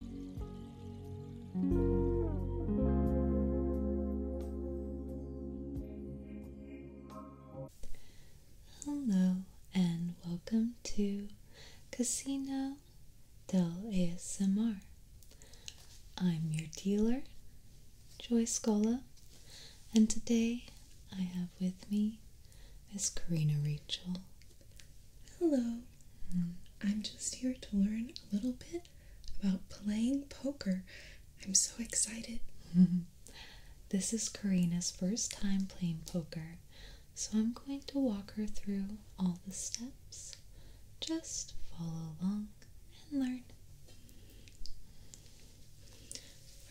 Hello and welcome to Casino Del ASMR. I'm your dealer, Joy Scola, and today I have with me Miss Karina Rachel Hello. I'm just here to learn a little bit about playing poker. I'm so excited. this is Karina's first time playing poker, so I'm going to walk her through all the steps. Just follow along and learn.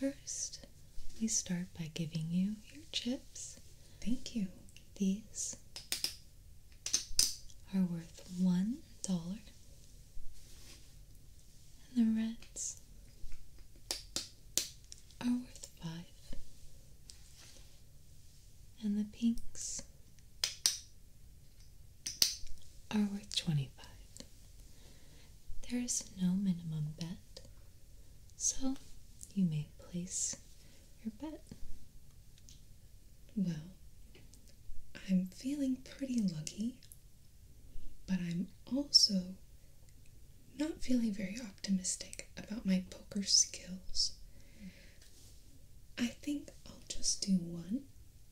First, we start by giving you your chips. Thank you. These are worth one dollar, and the reds are worth five, and the pinks are worth 25. There is no minimum bet, so you may place your bet. Well, I'm feeling pretty lucky, but I'm also not feeling very optimistic about my poker skills. I think I'll just do one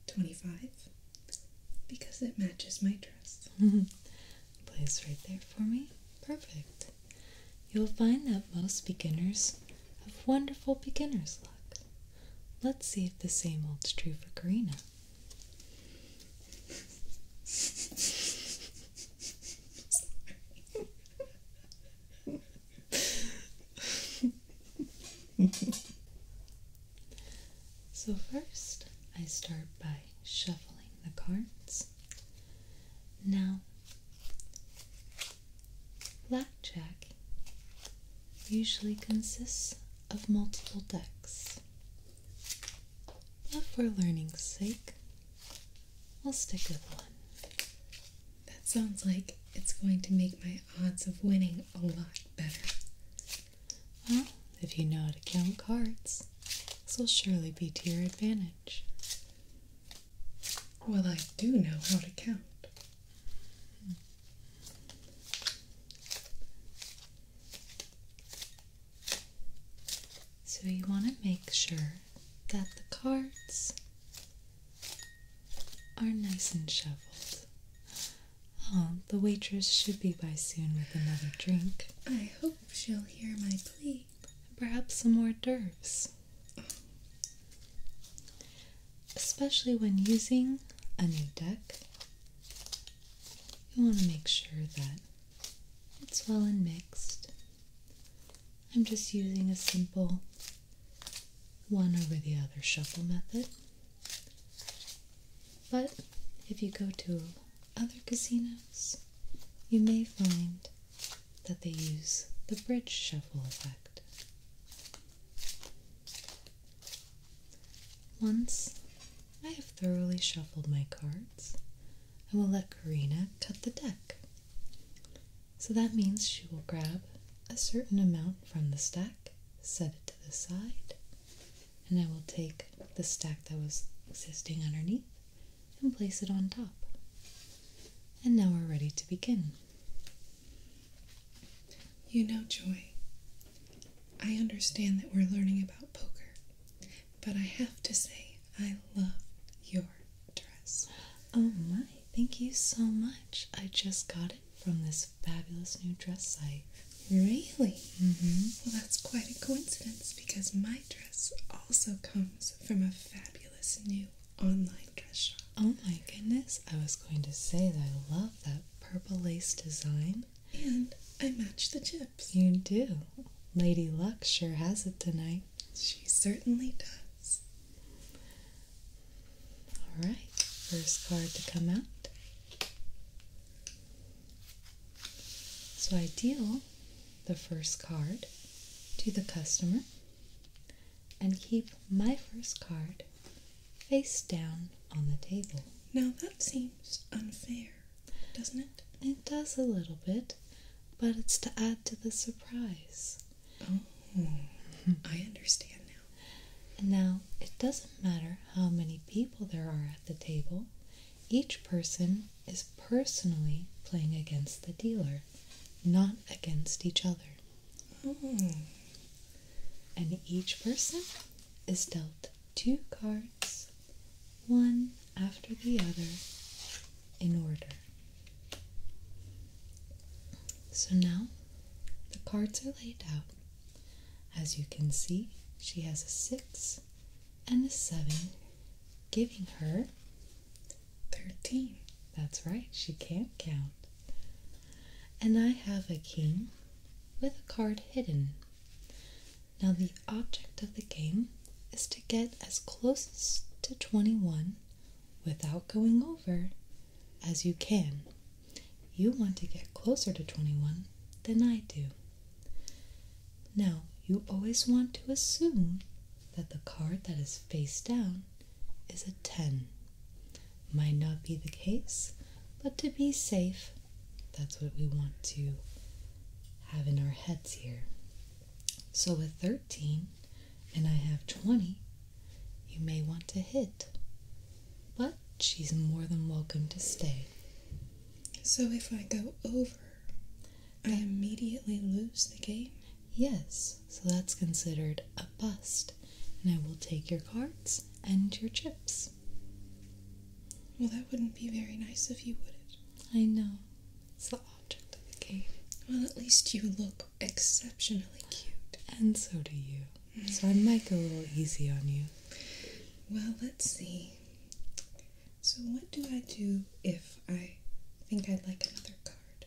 25 because it matches my dress. Plays right there for me. Perfect. You'll find that most beginners have wonderful beginner's luck. Let's see if the same holds true for Karina. so, first, I start by shuffling the cards. Now, Blackjack usually consists of multiple decks, but for learning's sake, we'll stick with one. That sounds like it's going to make my odds of winning a lot better. Well, if you know how to count cards, this will surely be to your advantage. Well, I do know how to count. So, you want to make sure that the cards are nice and shuffled. Oh, um, the waitress should be by soon with another drink. I hope she'll hear my plea. Perhaps some more d'oeuvres. Especially when using a new deck, you want to make sure that it's well and mixed. I'm just using a simple one over the other shuffle method. But if you go to other casinos, you may find that they use the bridge shuffle effect. Once I have thoroughly shuffled my cards, I will let Karina cut the deck. So that means she will grab a certain amount from the stack, set it to the side, and I will take the stack that was existing underneath and place it on top. And now we're ready to begin. You know, Joy, I understand that we're learning about poker, but I have to say, I love your dress. Oh my, thank you so much. I just got it from this fabulous new dress site. Really? Mm-hmm. Well, that's quite a coincidence because my dress also comes from a fabulous new online dress shop. Oh my goodness, I was going to say that I love that purple lace design. And I matched the chips. You do. Lady Luck sure has it tonight. She certainly does. Alright, first card to come out. So I deal the first card to the customer and keep my first card face down on the table. Now that seems unfair, doesn't it? It does a little bit, but it's to add to the surprise. Oh, I understand now. now, it doesn't matter how many people there are at the table, each person is personally playing against the dealer, not against each other. Hmm. And each person is dealt two cards, one after the other, in order. So now the cards are laid out. As you can see, she has a six and a seven, giving her Thirteen. That's right, she can't count. And I have a king with a card hidden. Now, the object of the game is to get as close to 21 without going over as you can. You want to get closer to 21 than I do. Now, you always want to assume that the card that is face down is a 10. Might not be the case, but to be safe, that's what we want to have in our heads here. So with 13 and I have 20, you may want to hit, but she's more than welcome to stay. So if I go over, I immediately lose the game? Yes, so that's considered a bust. And I will take your cards and your chips. Well, that wouldn't be very nice of you, would it? I know. It's the object of the game. Well, at least you look exceptionally cute. And so do you. So I might go a little easy on you. Well, let's see. So, what do I do if I think I'd like another card?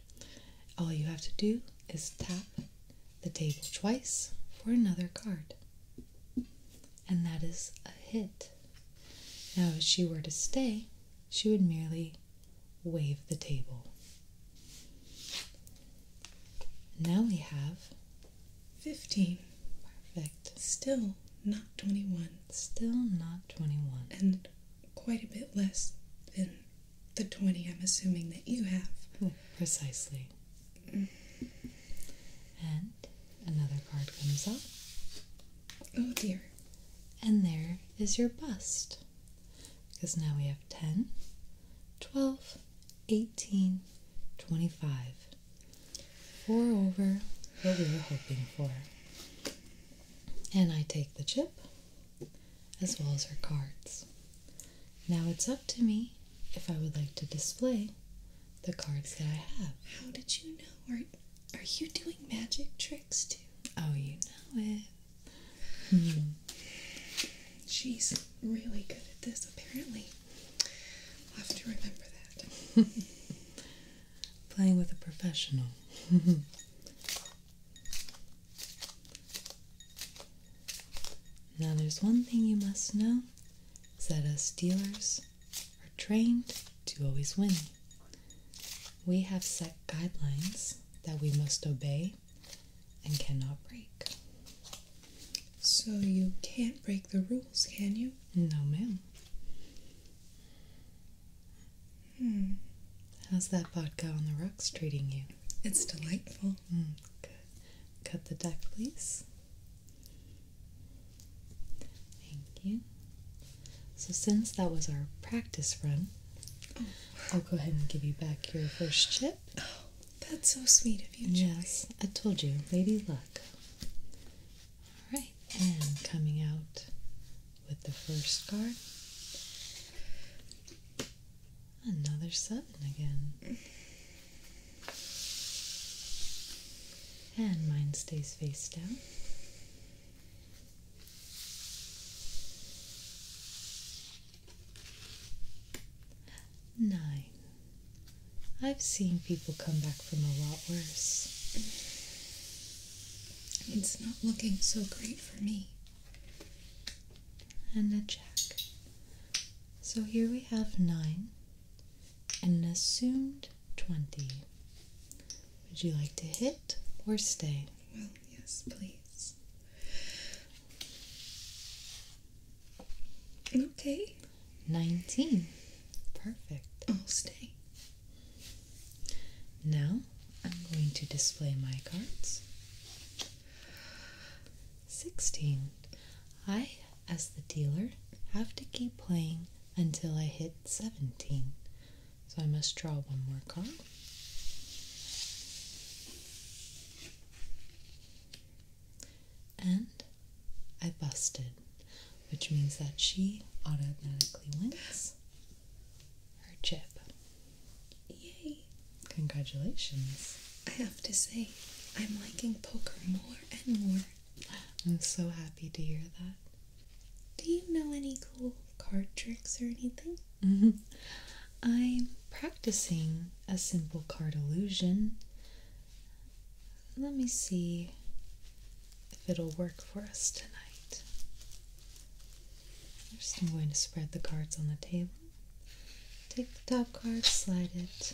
All you have to do is tap the table twice for another card. And that is a hit. Now, if she were to stay, she would merely wave the table. Now we have 15. Perfect. Still not 21. Still not 21. And quite a bit less than the 20 I'm assuming that you have. Hmm, precisely. And another card comes up. Oh dear. And there is your bust. Because now we have 10, 12, 18, 25. Four over what we were hoping for. And I take the chip as well as her cards. Now it's up to me if I would like to display the cards that I have. How did you know? Are, are you doing magic tricks too? Oh, you know it. Hmm. She's really good at this, apparently. I'll have to remember that. Playing with a professional. Now, there's one thing you must know is that us dealers are trained to always win. We have set guidelines that we must obey and cannot break. So, you can't break the rules, can you? No, ma'am. Hmm. How's that vodka on the rocks treating you? It's delightful. Mm, Cut the deck, please. Thank you. So, since that was our practice run, oh. I'll go ahead and give you back your first chip. Oh, that's so sweet of you, Joey. Yes, I told you, lady luck. All right, and coming out with the first card Another seven again. And mine stays face down. Nine. I've seen people come back from a lot worse. It's not looking so great for me and a jack. So here we have 9 and an assumed 20. Would you like to hit or stay? Well, yes, please. Okay. 19. Perfect. I'll stay. Now I'm going to display my cards. 16. I, as the dealer, have to keep playing until I hit 17. So I must draw one more card. And I busted, which means that she automatically wins her chip. Yay! Congratulations. I have to say, I'm liking poker more and more. I'm so happy to hear that. Do you know any cool card tricks or anything? Mm-hmm. I'm practicing a simple card illusion. Let me see if it'll work for us tonight. I'm just going to spread the cards on the table. Take the top card, slide it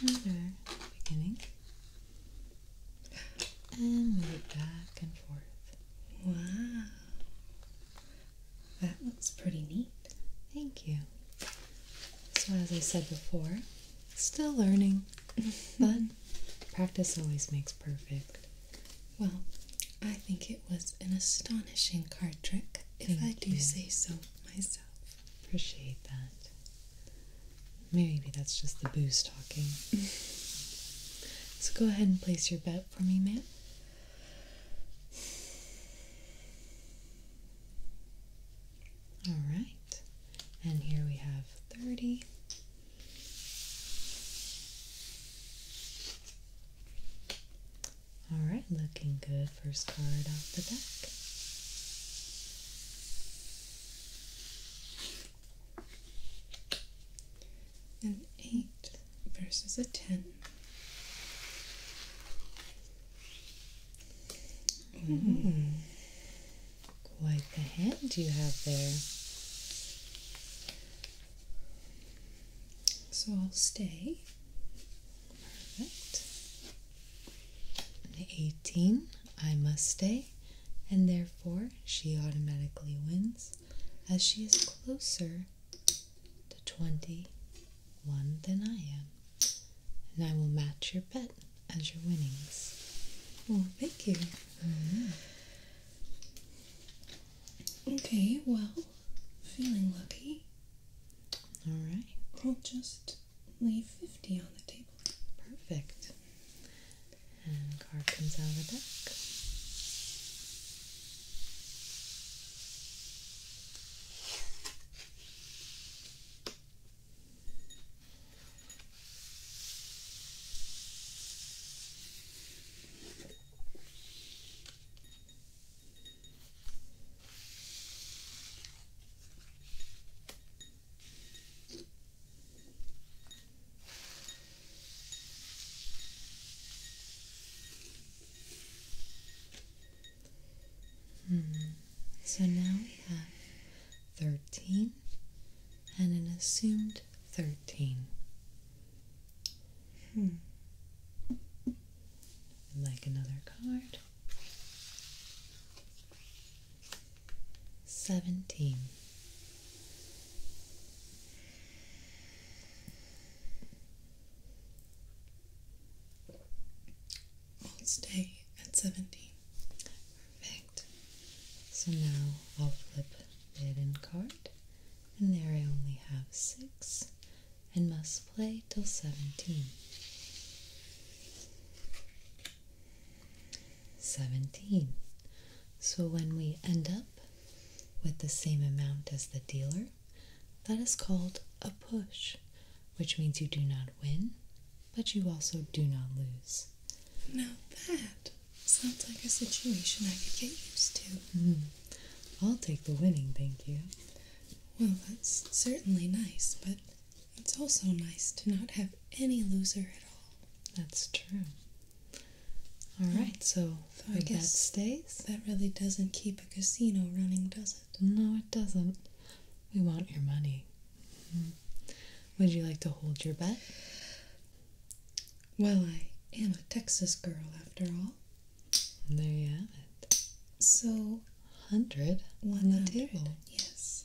under the beginning, and move it back and forth. Wow. That looks pretty neat. Thank you. So, as I said before, still learning, but practice always makes perfect. Well, I think it it was an astonishing card trick, if I do say so myself. Appreciate that. Maybe that's just the booze talking. so go ahead and place your bet for me, man. All right, and here we have 30. Alright, looking good. First card off the deck. An 8 versus a 10. Mm. Quite the hand you have there. So I'll stay. Perfect. And 18, I must stay, and therefore she automatically wins as she is closer to 21 than I am. And I will match your bet as your winnings. Well, oh, thank you. Mm-hmm. Okay, well, feeling lucky. Alright. right. will just leave 50 on the table. Perfect. And card comes out of the deck. Hmm. So now we have 13 and an assumed 13. Hmm i like another card. Seventeen. We'll stay at 17. Perfect. So now I'll flip it hidden card, and there I only have six and must play till 17. 17. So when we end up with the same amount as the dealer, that is called a push, which means you do not win, but you also do not lose. Now that sounds like a situation I could get used to. Hmm. I'll take the winning, thank you. Well, that's certainly nice, but it's also nice to not have any loser at all. That's true. All right, so, so I guess stays. That really doesn't keep a casino running, does it? No, it doesn't. We want your money. Mm-hmm. Would you like to hold your bet? Well, I am a Texas girl after all there you have it. So, 100 Yes.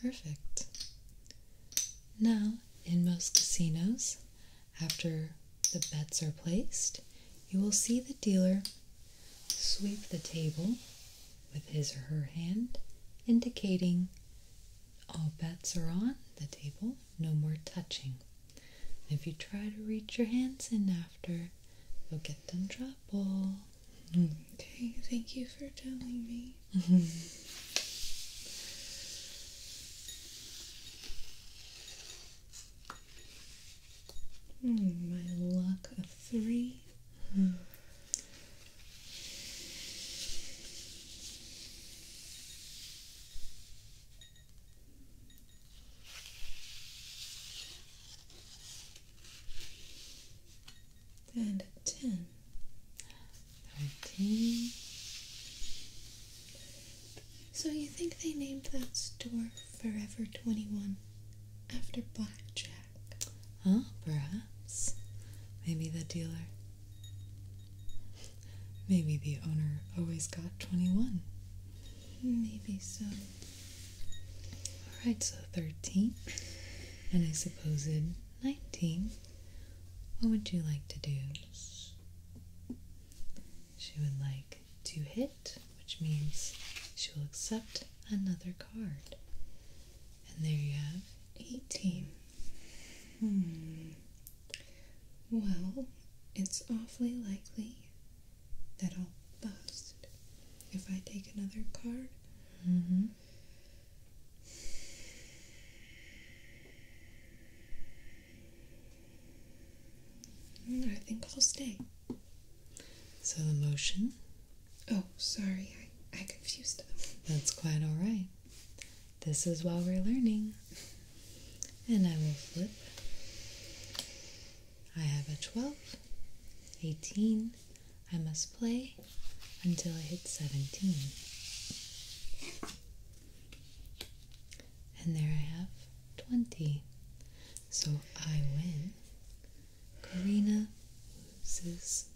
Perfect. Now, in most casinos, after the bets are placed, you will see the dealer sweep the table with his or her hand, indicating all bets are on the table, no more touching. If you try to reach your hands in after, you'll get them trouble. Okay, thank you for telling me. Hmm, my luck of three and ten, thirteen. So you think they named that store Forever 21 after Blackjack? Huh, perhaps. Maybe the dealer. Maybe the owner always got 21. Maybe so. Alright, so 13 and I suppose it 19. What would you like to do? She would like to hit, which means she will accept another card. And there you have 18. Hmm. Well, it's awfully likely that will bust if I take another card. Mm-hmm. Mm, I think I'll stay. So the motion? Oh, sorry, I, I confused them. That's quite alright. This is while we're learning. And I will flip I have a 12, 18, I must play until I hit 17. And there I have 20. So I win. Karina loses.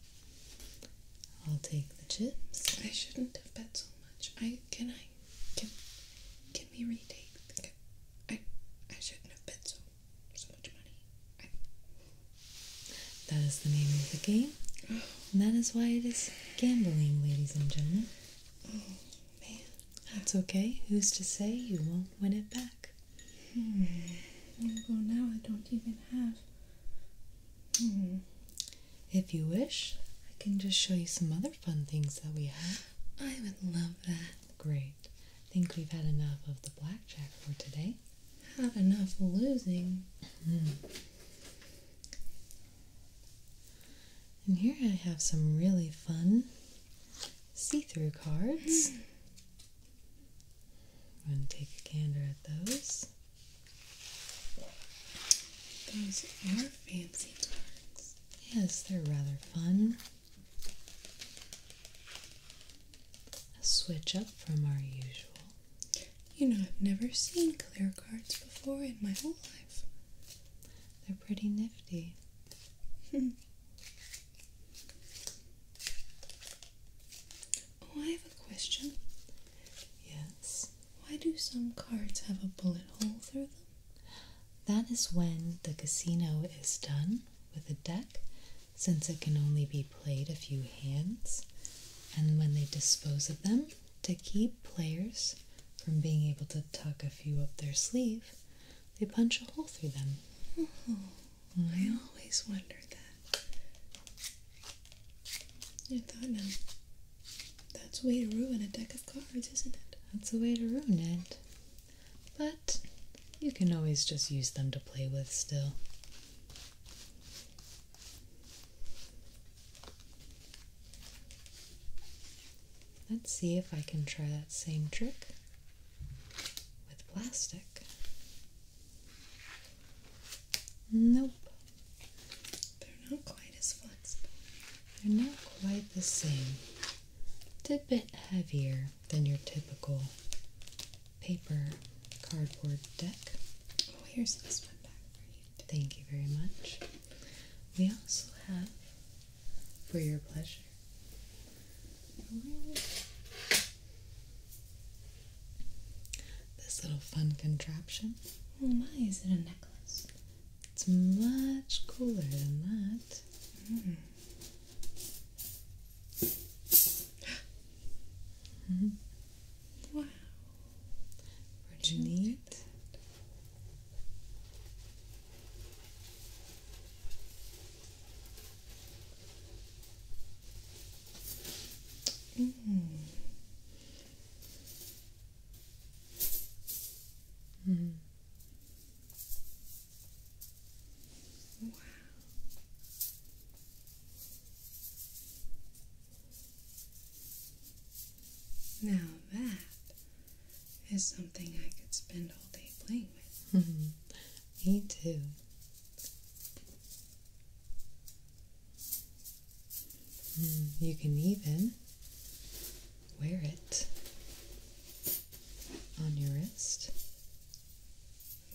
I'll take the chips. I shouldn't have bet so much. I can I can can we retake the that is the name of the game. And that is why it is gambling, ladies and gentlemen. Oh, man. That's okay. Who's to say you won't win it back? Hmm. Well now I don't even have hmm. If you wish, I can just show you some other fun things that we have. I would love that. Great. I think we've had enough of the blackjack for today. Had enough losing. Hmm. And here I have some really fun see through cards. I'm going to take a gander at those. Those are fancy cards. Yes, they're rather fun. A switch up from our usual. You know, I've never seen clear cards before in my whole life. They're pretty nifty. oh, I have a question. Yes. Why do some cards have a bullet hole through them? That is when the casino is done with a deck, since it can only be played a few hands, and when they dispose of them to keep players from being able to tuck a few up their sleeve, they punch a hole through them. I always wondered that. I thought, no, um, that's way to ruin a deck of cards, isn't it? That's a way to ruin it but you can always just use them to play with still. Let's see if I can try that same trick with plastic. Nope. They're not quite as flexible. They're not quite the same. It's a bit heavier than your typical paper cardboard deck. Oh, here's this one back for you. Thank you very much. We also have, for your pleasure, this little fun contraption. Oh my, is it a necklace? It's much cooler than that. Mm wow. What you need? Mm. Mm. Wow. Now that is something I could spend all day playing with. Me too. Hmm, you can even wear it on your wrist.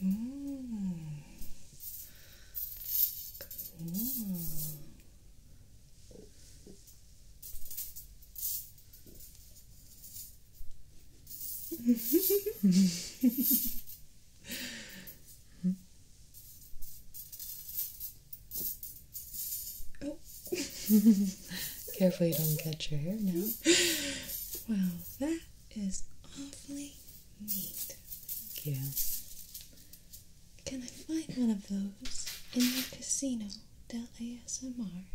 Careful you don't catch your hair now. Well, that is awfully neat. Thank you. Can I find one of those in the casino del ASMR?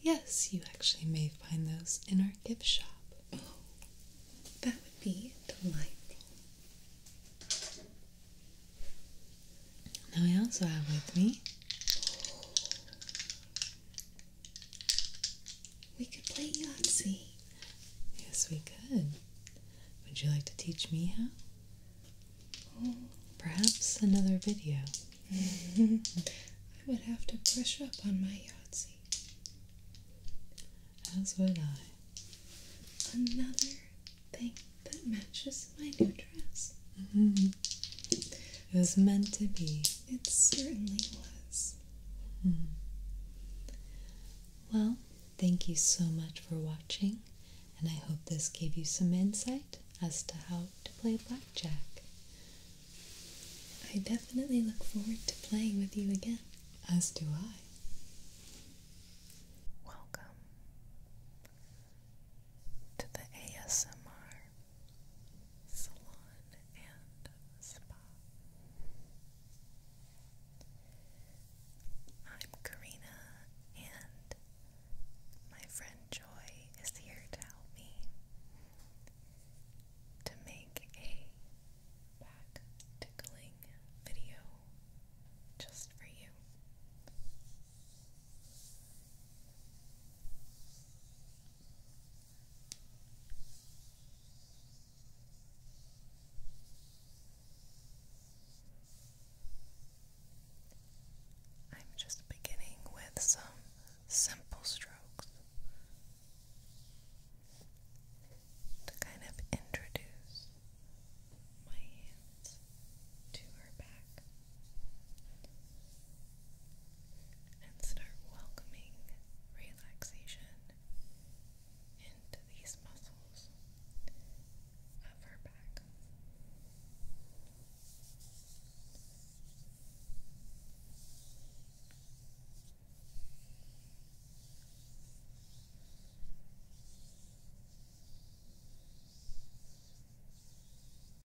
Yes, you actually may find those in our gift shop. Oh, that would be delightful. Now I also have with me. We could play Yahtzee. Yes, we could. Would you like to teach me how? Perhaps another video. I would have to brush up on my Yahtzee. As would I. Another thing that matches my new dress. Mm-hmm. It was meant to be. It certainly was. Mm-hmm. Well, thank you so much for watching, and I hope this gave you some insight as to how to play blackjack. I definitely look forward to playing with you again. As do I. Welcome to the ASMR salon and spa. I'm Karina, and my friend Joy is here to help me to make a back tickling video just for you. I'm just beginning with some simple strokes to kind of introduce my hands to her back and start welcoming relaxation into these muscles of her back.